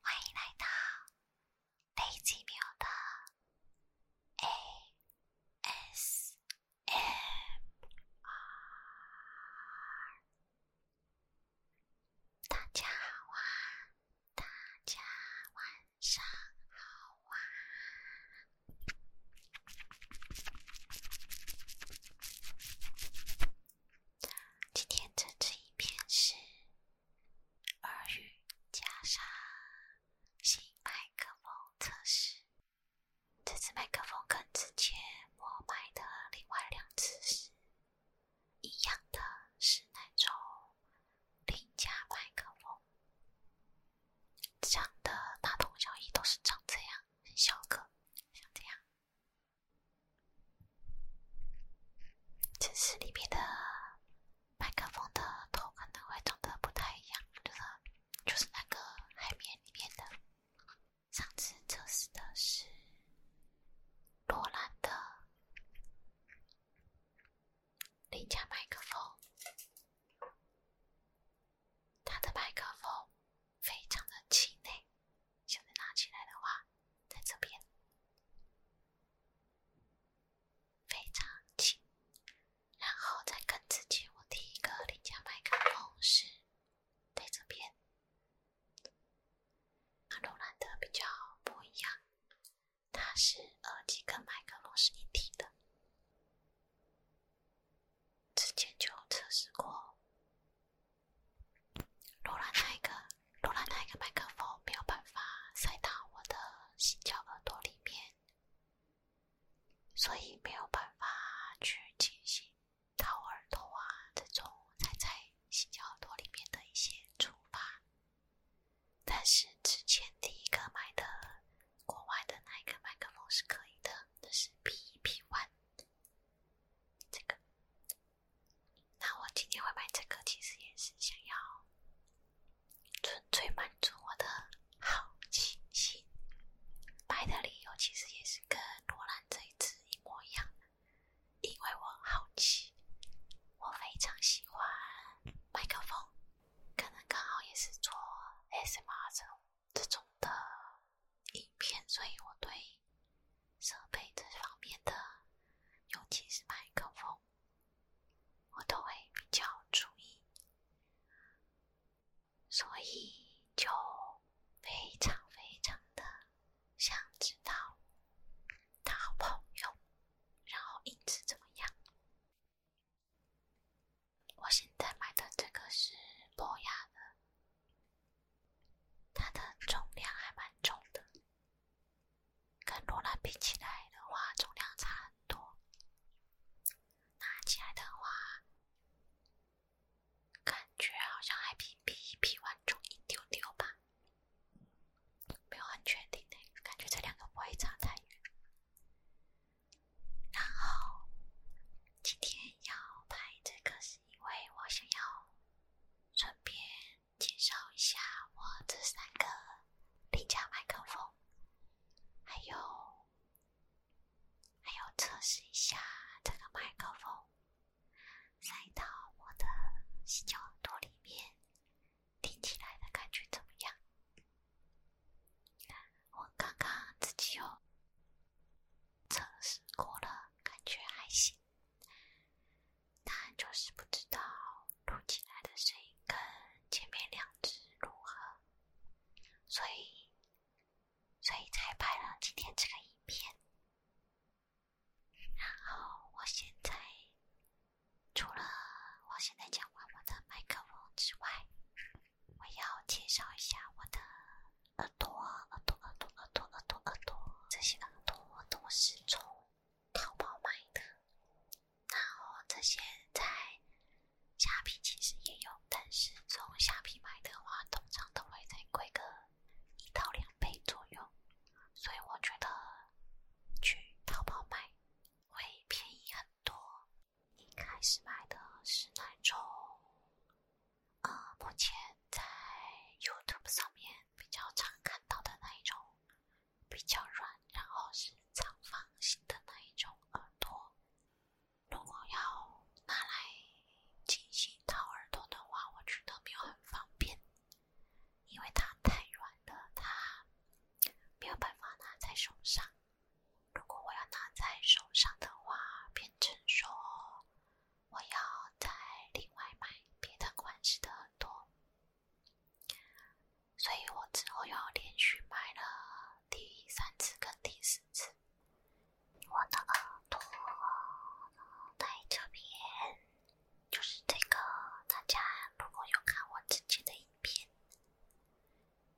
欢迎来到北极妙的 A S M R。大家好，大家晚。上好啊！今天这支影片是耳语加上新麦克风测试。这支麦克风跟之前我买的另外两只是一样的，是那种零价麦克风。长得大同小异，都是长这样，很小个，像这样。只是里面的麦克风的头可能会长得不太一样，就是就是那个海绵里面的。上次测试的是罗兰的邻家麦克风。它的麦克风非常的轻，现在拿起来的话，在这边非常轻。然后再跟之前我第一个领家麦克风是在这边，那柔软的比较不一样。它是耳机跟麦克风是一体的，之前就测试过，罗兰那一个，罗兰那一个麦克风没有办法塞到我的新角耳朵里面，所以没有办法去进行掏耳朵啊这种塞在新角耳朵里面的一些处发。但是之前第一个买的国外的那一个麦克风是可以的，那是 P B One。这个，那我今天会买这个，其实也是想要纯粹满足我的好奇心。买的理由其实也是跟罗兰这一次一模一样，因为我好奇，我非常喜欢麦克风。可能刚好也是做 S M R 这这种的影片，所以我对设备这方面的，尤其是麦克风，我都会比较注意，所以就非常非常的想知道他好朋友，然后一直怎么样。我现在买的这个是博雅的，它的重量还蛮重的，跟罗兰比起来的话，重量差很多。拿起来的话，感觉好像还比比一 P 玩重一丢丢吧。没有很确定那感觉这两个不会差太远。然后今天要拍这个，是因为我想要顺便介绍一下我这三个领夹麦克风，还有还有测试一下这个麦克风塞到我的小耳朵里面。听起来的感觉怎么样？我刚刚自己又测试过了，感觉还行。但就是不知道录起来的声音跟前面两只如何，所以所以才拍了今天这个影片。然后我现在。除了我现在讲完我的麦克风之外，我要介绍一下我的耳朵，耳朵，耳朵，耳朵，耳朵，耳朵，这些耳朵都是从淘宝买的。然后这些在虾皮其实也有，但是从虾皮买的话，通常都会在贵个一到两倍左右，所以我觉得去淘宝买。会便宜很多。一开始买的是那种，呃，目前在 YouTube 上面比较常看到的那一种，比较软，然后是长方形的那一种耳朵。如果要拿来进行掏耳朵的话，我觉得没有很方便。因为它太软了，它没有办法拿在手上。如果我要拿在手上的话，变成说我要再另外买别的款式的朵，所以我之后又连续买了第三次跟第四次，我的耳朵在这边就是这个。大家如果有看我自己的。边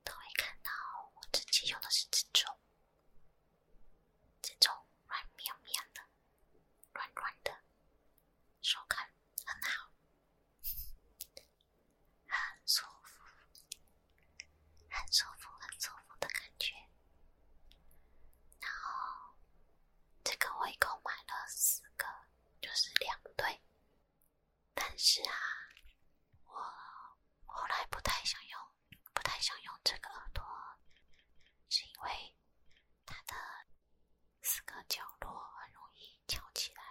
都会看到，我自己用的是这种，这种软绵绵的、软软的，手感很好，很舒服，很舒服、很舒服的感觉。然后这个我一共买了四个，就是两对。但是啊，我后来不太想用，不太想用这个耳朵，是因为它的四个角落很容易翘起来。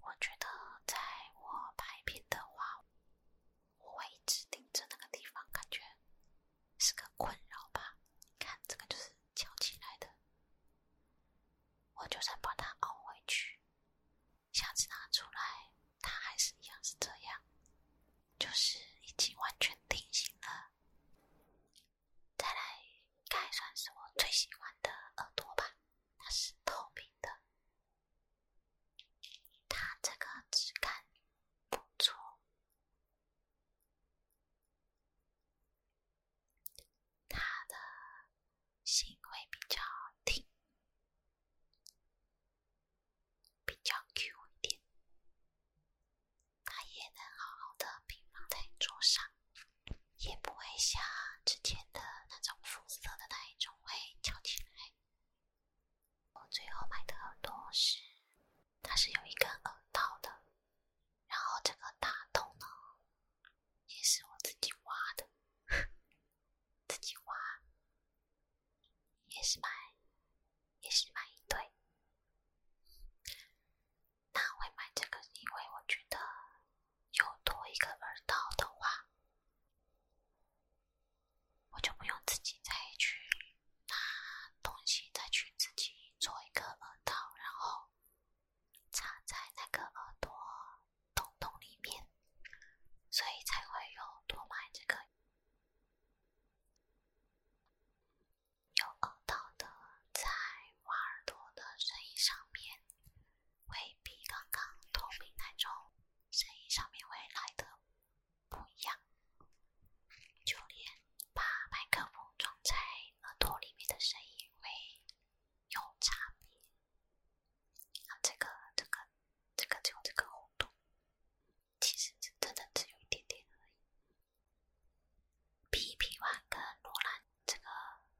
我觉得在我拍片的话，我会一直盯着那个地方，感觉是个困扰吧。看这个就是。翘起来的，我就算把它凹回去，下次拿出来它还是一样是这样，就是已经完全定型了。再来该算是我最喜欢的耳朵吧，它是透明的，它这个质感不错。他的形会比较听，比较 Q 一点，他也能好好的平放在桌上，也不会像之前的那种肤色的那一种会翘起来。我最后买的耳朵是，它是有一个耳道的。然后这个大洞呢，也是我自己挖的，自己挖，也是买，也是买一对。那会买这个因为我觉得有多一个耳道的话，我就不用自己再去拿东西再去自己做一个耳道，然后。插在那个耳朵洞洞里面，所以才会有多买这个有耳道的在挖耳朵的声音上面，会比刚刚透明那种声音上面会来的不一样。就连把麦克风装在耳朵里面的声音会有差别，啊，这个、这个、这个，就这个弧度，其实真的只有一点点而已。皮皮万跟罗兰这个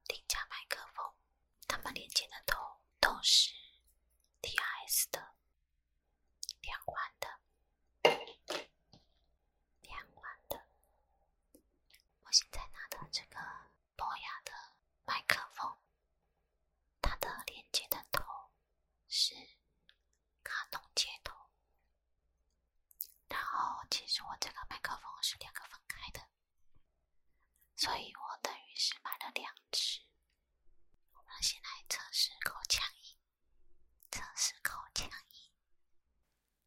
定价麦克风，他们连接的头都是 TIS 的两万的。两万的，我现在拿的这个博雅的麦克风，它的连接的头是卡通接头。然后，其实我这个麦克风是两个分开的，所以我等于是买了两只。我们先来测试口腔音，测试口腔音。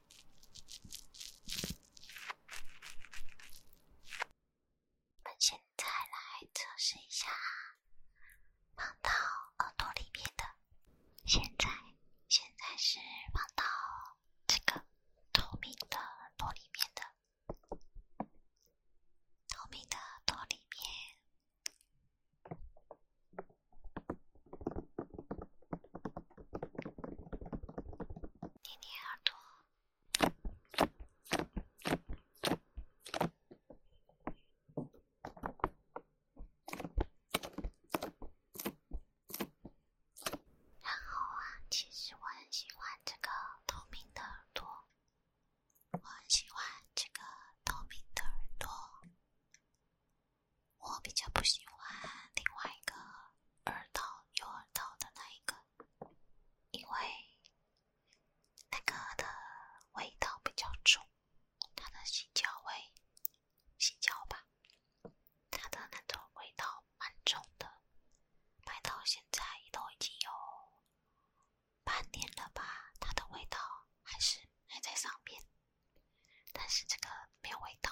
我们现在来测试一下，放到耳朵里面的。现在，现在是放到这个透明的耳朵里面的，透明的耳朵里面。捏捏耳朵，然后啊，其实我很喜欢这个透明的耳朵，我很喜欢这个透明的耳朵。我比较不喜欢另外一个耳道右耳道的那一个，因为那个的味道比较重，它的性交味、性交吧，它的那种味道蛮重的。买到现在都已经有半年了吧，它的味道还是还在上面，但是这个没有味道。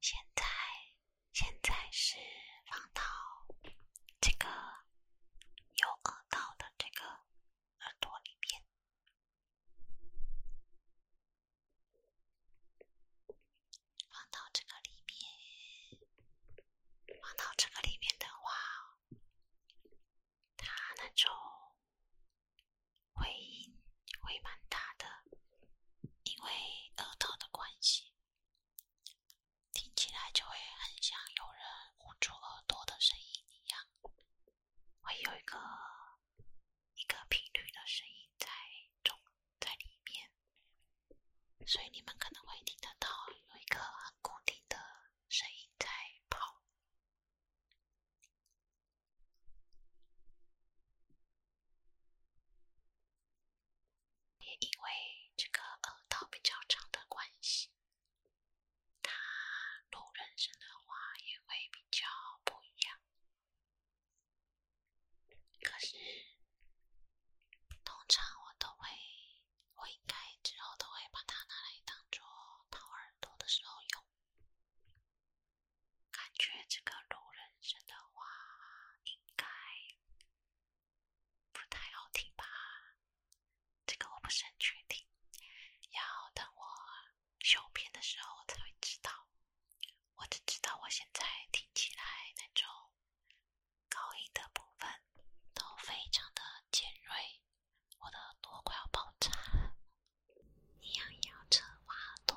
现在，现在是放到这个有耳道的这个耳朵里面。放到这个里面，放到这个里面的话，它那种回音会蛮大的，因为耳朵的关系，听起来就会很像有人捂住耳朵的声音一样。会有一个一个频率的声音在中在里面，所以你们可能会听得到有一个很固定的声音在跑，也因为这个耳道比较长的关系。他录人声的话也会比较不一样。可是，通常我都会，我应该之后都会把它拿来当做掏耳朵的时候用。感觉这个录人声的话应该不太好听吧？这个我不是很确定，要等我。修片的时候我才会知道，我只知道我现在听起来那种高音的部分都非常的尖锐，我的耳朵快要爆炸了，一样咬着我耳朵。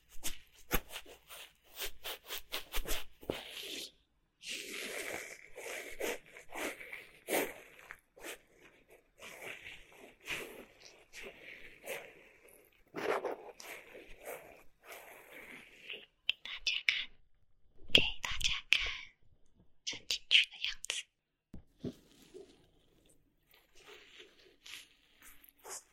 给大家看，给大家看，伸进去的样子。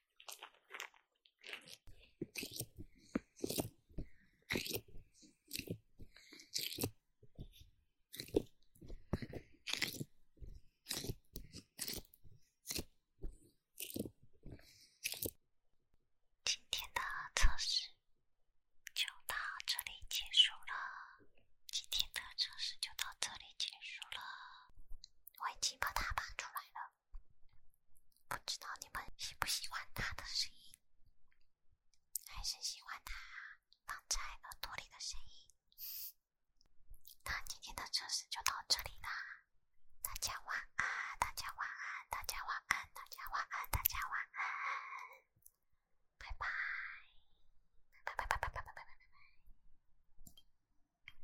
今天的测试就到这里结束了。今天的测试就到这里结束了。我已经把它拔出来了。不知道你们喜不喜欢他的声音，还是喜欢他放在耳朵里的声音。那今天的测试就到这里啦，大家晚安，大家晚安，大家晚安，大家晚安，大家晚安，拜拜，拜拜拜拜拜拜拜拜拜拜。